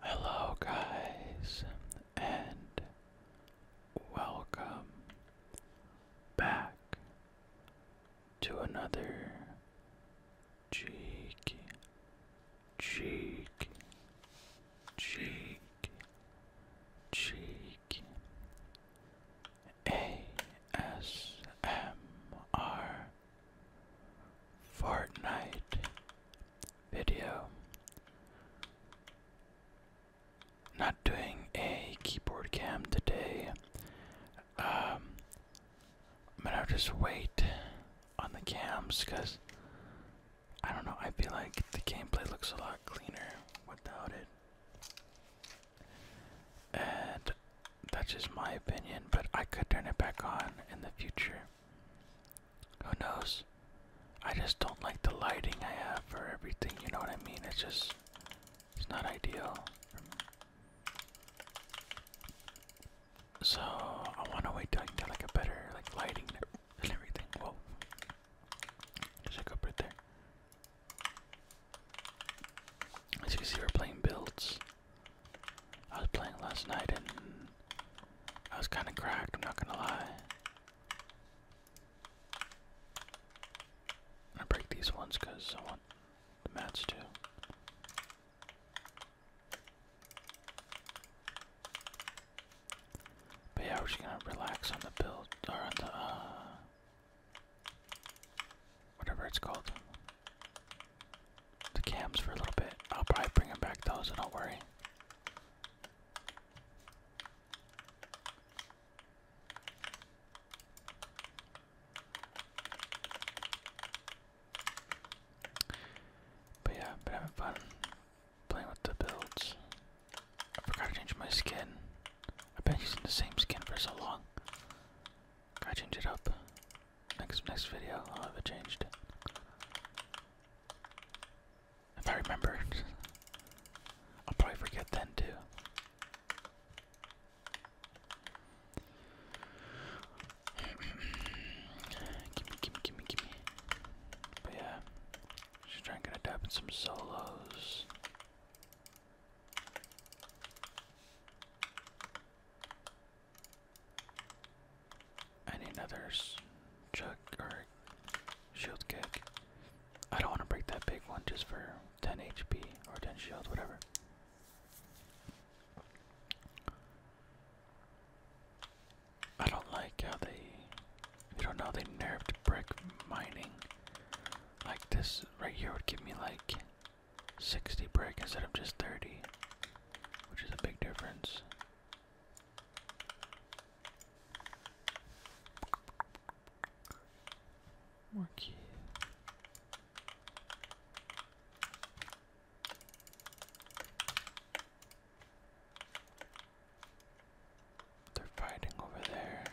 Hello, guys, and welcome back to another cheek, cheek, cheek, cheek ASMR Fortnite video. Not doing a keyboard cam today. Um, I'm gonna just wait on the cams because I don't know. I feel like the gameplay looks a lot cleaner without it. And that's just my opinion, but I could turn it back on in the future. Who knows? I just don't like the lighting I have for everything, you know what I mean? It's just, it's not ideal. So, I want to wait till I can get like a better like lighting and everything. Whoa. up right there. As you can see, we're playing builds. I was playing last night and I was kind of cracked, I'm not gonna lie. I break these ones because I want the mats too. But yeah, we're just gonna relax on the build, or on the, uh, whatever it's called. The cams for a little bit. I'll probably bring them back though, so don't worry. But yeah, I've been having fun playing with the builds. forgot to change my skin. I've been using the same skin for so long. Gotta change it up. Next next video I'll have it changed. If I remember, I'll probably forget then too. gimme, gimme, gimme, gimme. But yeah, should try and get a dab in some solos. I need another chuck or shield kick. I don't want to break that big one just for 10 HP or 10 shield, whatever. I don't like how they, you don't know, they nerfed brick mining. Like this right here would give me like 60 brick instead of just 30, which is a big difference. More key. They're fighting over there.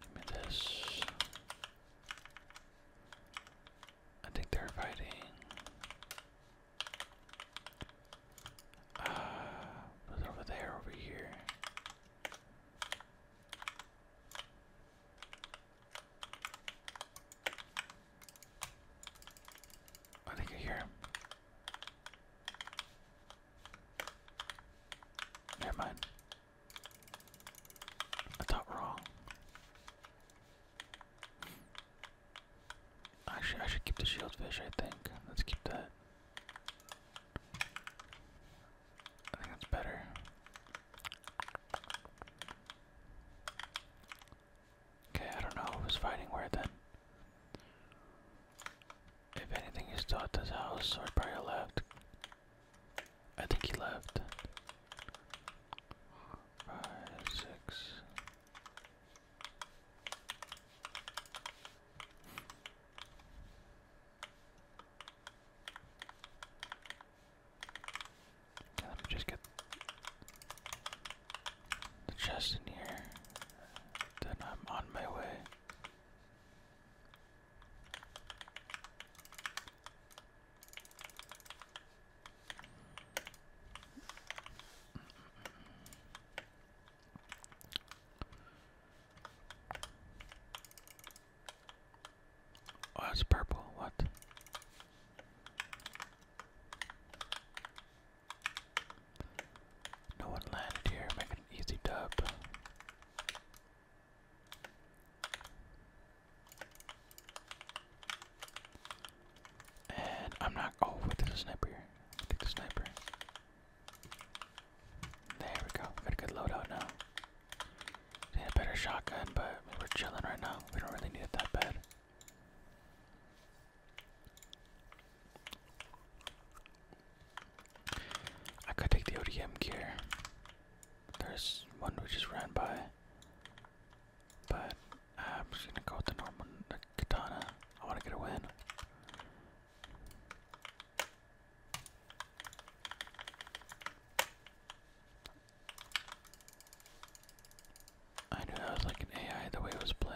Give me this. I think they're fighting. Uh, was over there, over here. I think I hear him. Never mind. I thought wrong. Actually, I should keep the shieldfish, I think. Let's keep that. I think that's better. Okay, I don't know who's fighting where then. If anything, is still at this house, or probably left. I think he left. Five, six. Let me just get the chest in here. Then I'm on my way. Oh, it's purple. What? No one landed here. Make an easy dub. And I'm not. Oh, wait, there's a sniper here. Take the sniper. There we go. Got good loadout now a better shotgun, but we're chilling right now. We don't really need it that bad. I could take the ODM gear. There's one we just ran by. But uh, I'm just gonna go with the normal katana. I wanna get a win. I knew that was like an AI the way it was playing.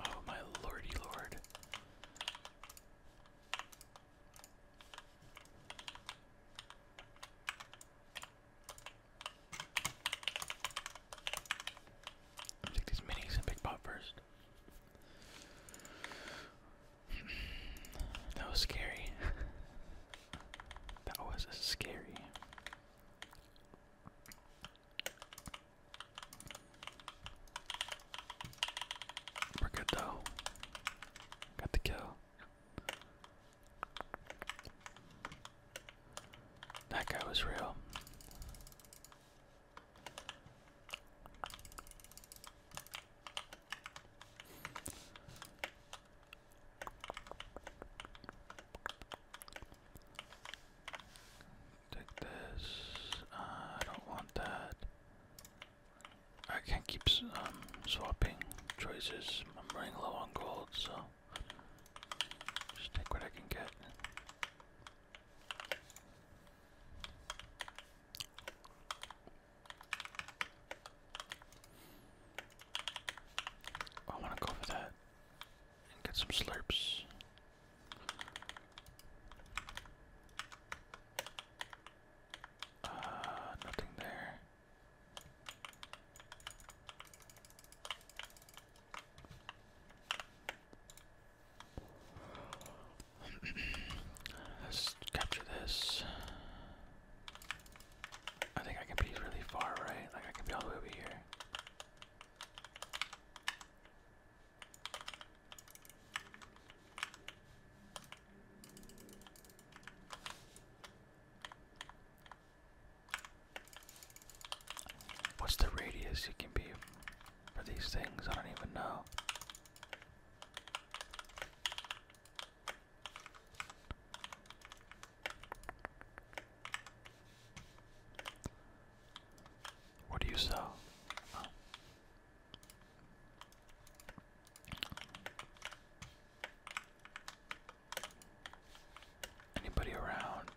Oh, my lordy lord. take these minis and big pop first. that was scary. that was scary. We're good though. Got the kill. That guy was real. Take this. Uh, I don't want that. I can't keep um, swapping choices. I'm running low on gold, so just take what I can get. I want to go for that and get some slurps. Uh, nothing there. Let's capture this. I think I can be really far, right? Like I can be all the way over here. What's the radius it can be for these things? I don't even know. What do you sell? Anybody around?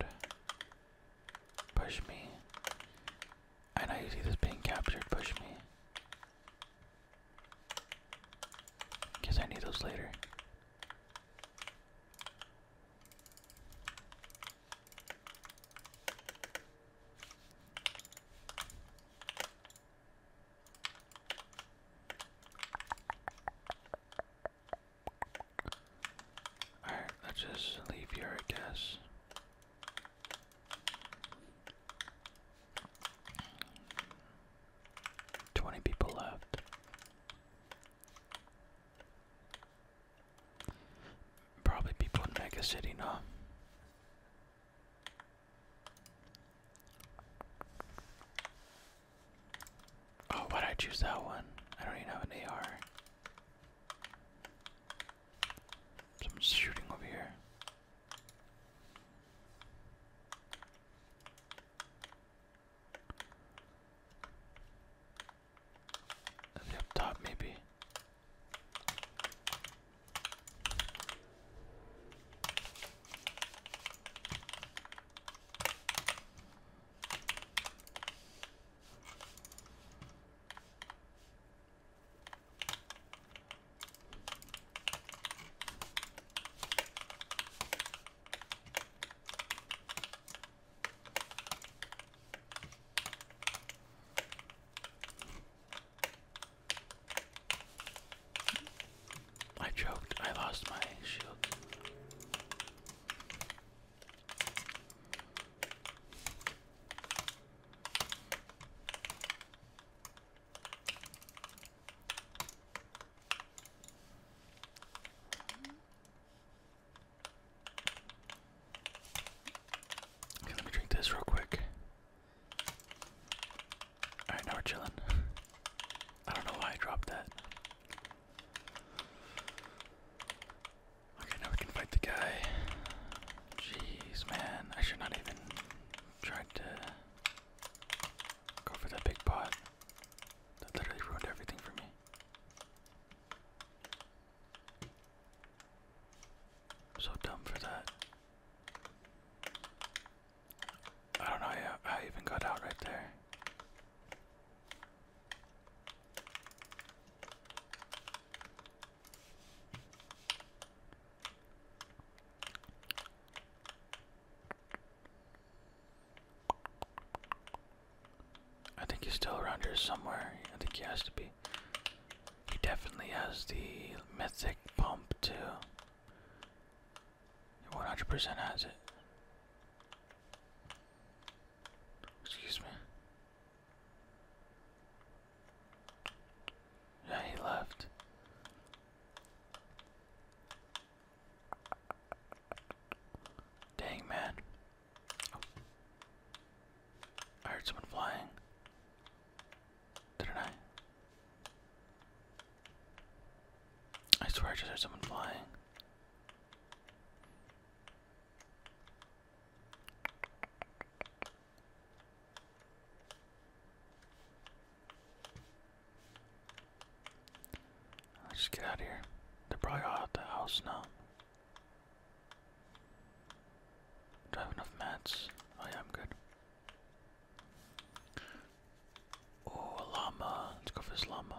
Push me. I know you see this being captured. Push me. Guess I need those later. Alright, let's just leave here, I guess. Twenty people left. Probably people in Mega City, no? Oh, why'd I choose that one? I don't even have an AR. Someone's shooting over here. And maybe. I choked. I lost my shield. Okay, let me drink this real quick. Alright, now we're chilling. I don't know why I dropped that. Okay, now we can fight the guy. Jeez, man. I should not even try to go for that big pot. That literally ruined everything for me. I'm so dumb for that. I don't know how I even got out right there. I think he's still around here somewhere. I think he has to be. He definitely has the mythic pump too. He 100% has it. Excuse me. Yeah, he left. Dang, man. I heard someone flying. Didn't I? I swear I just heard someone flying. Let's just get out of here. They're probably out at the house now. Do I have enough mats? Oh yeah, I'm good. Oh, llama. Let's go for this llama.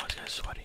Oh, this guy's sweaty.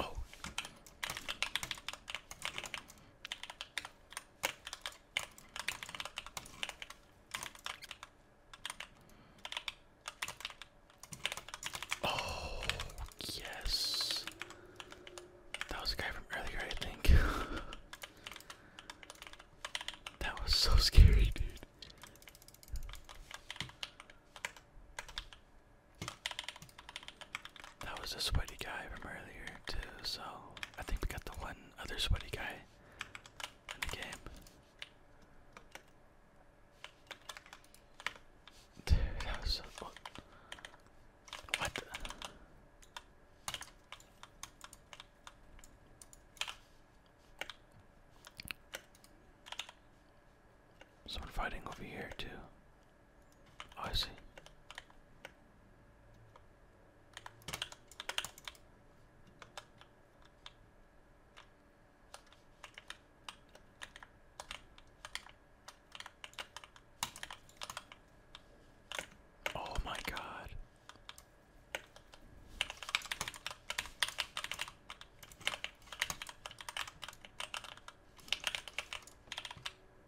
Oh. oh. yes. That was a guy from earlier, I think. that was so scary, dude. That was a sweaty guy from earlier too, so I think we got the one other sweaty guy in the game. Dude, that was What? Someone fighting over here too. I see. Oh, my God.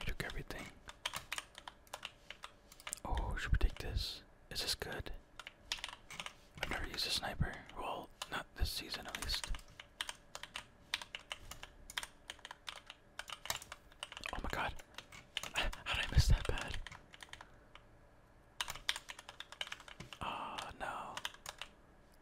He took everything. Oh, should we take this? Is this good? I've never used a sniper. Well, not this season at least. Oh my god. How did I miss that bad? Oh ah, no.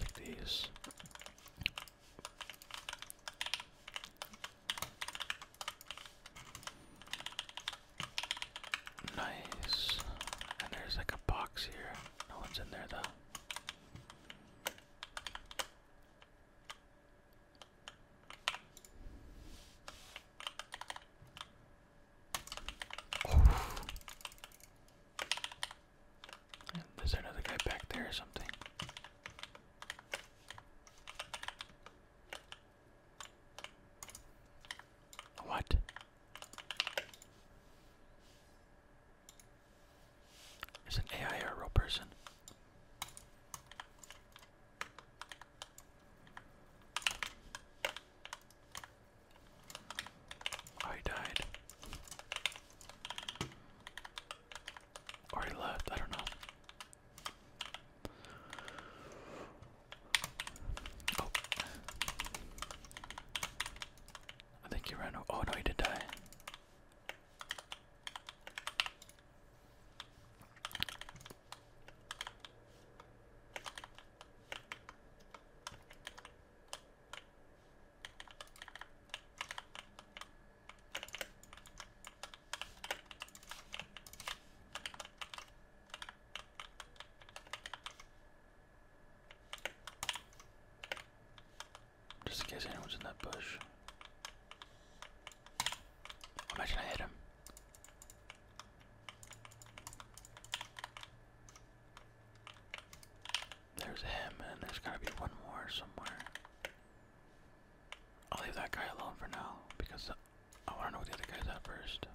Like these. Nice. And there's like a box here. No one's in there though. Oh. There's another guy back there or something. What? Is an AI or a real person? I died. Or he left, I don't know. Oh. I think he ran Oh no, he did die. Just in case anyone's in that bush. Imagine I hit him. There's him, and there's gotta be one more somewhere. I'll leave that guy alone for now because I wanna know where the other guy's at first.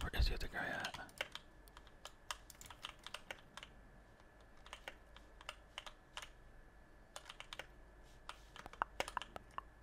Where is the other guy at?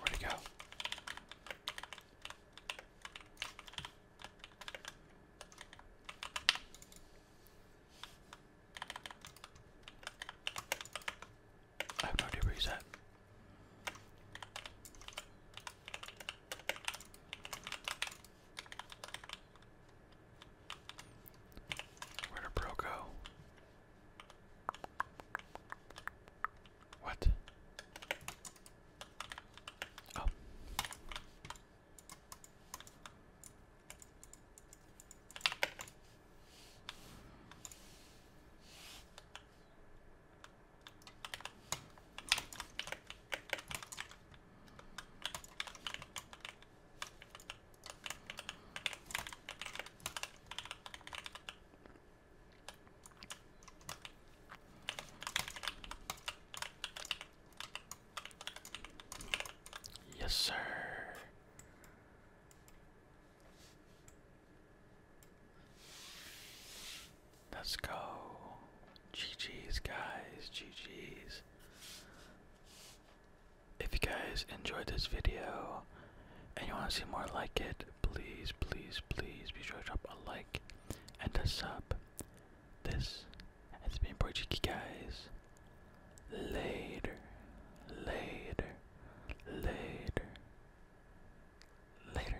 Where'd it go? I have no idea where did Bro go? What? Oh. Yes, sir. Let's go. GG's, guys. GG's. If you guys enjoyed this video and you want to see more like it, please, please, please be sure to drop a like and a sub. This has been Portuguese, guys. Later, later, later, later.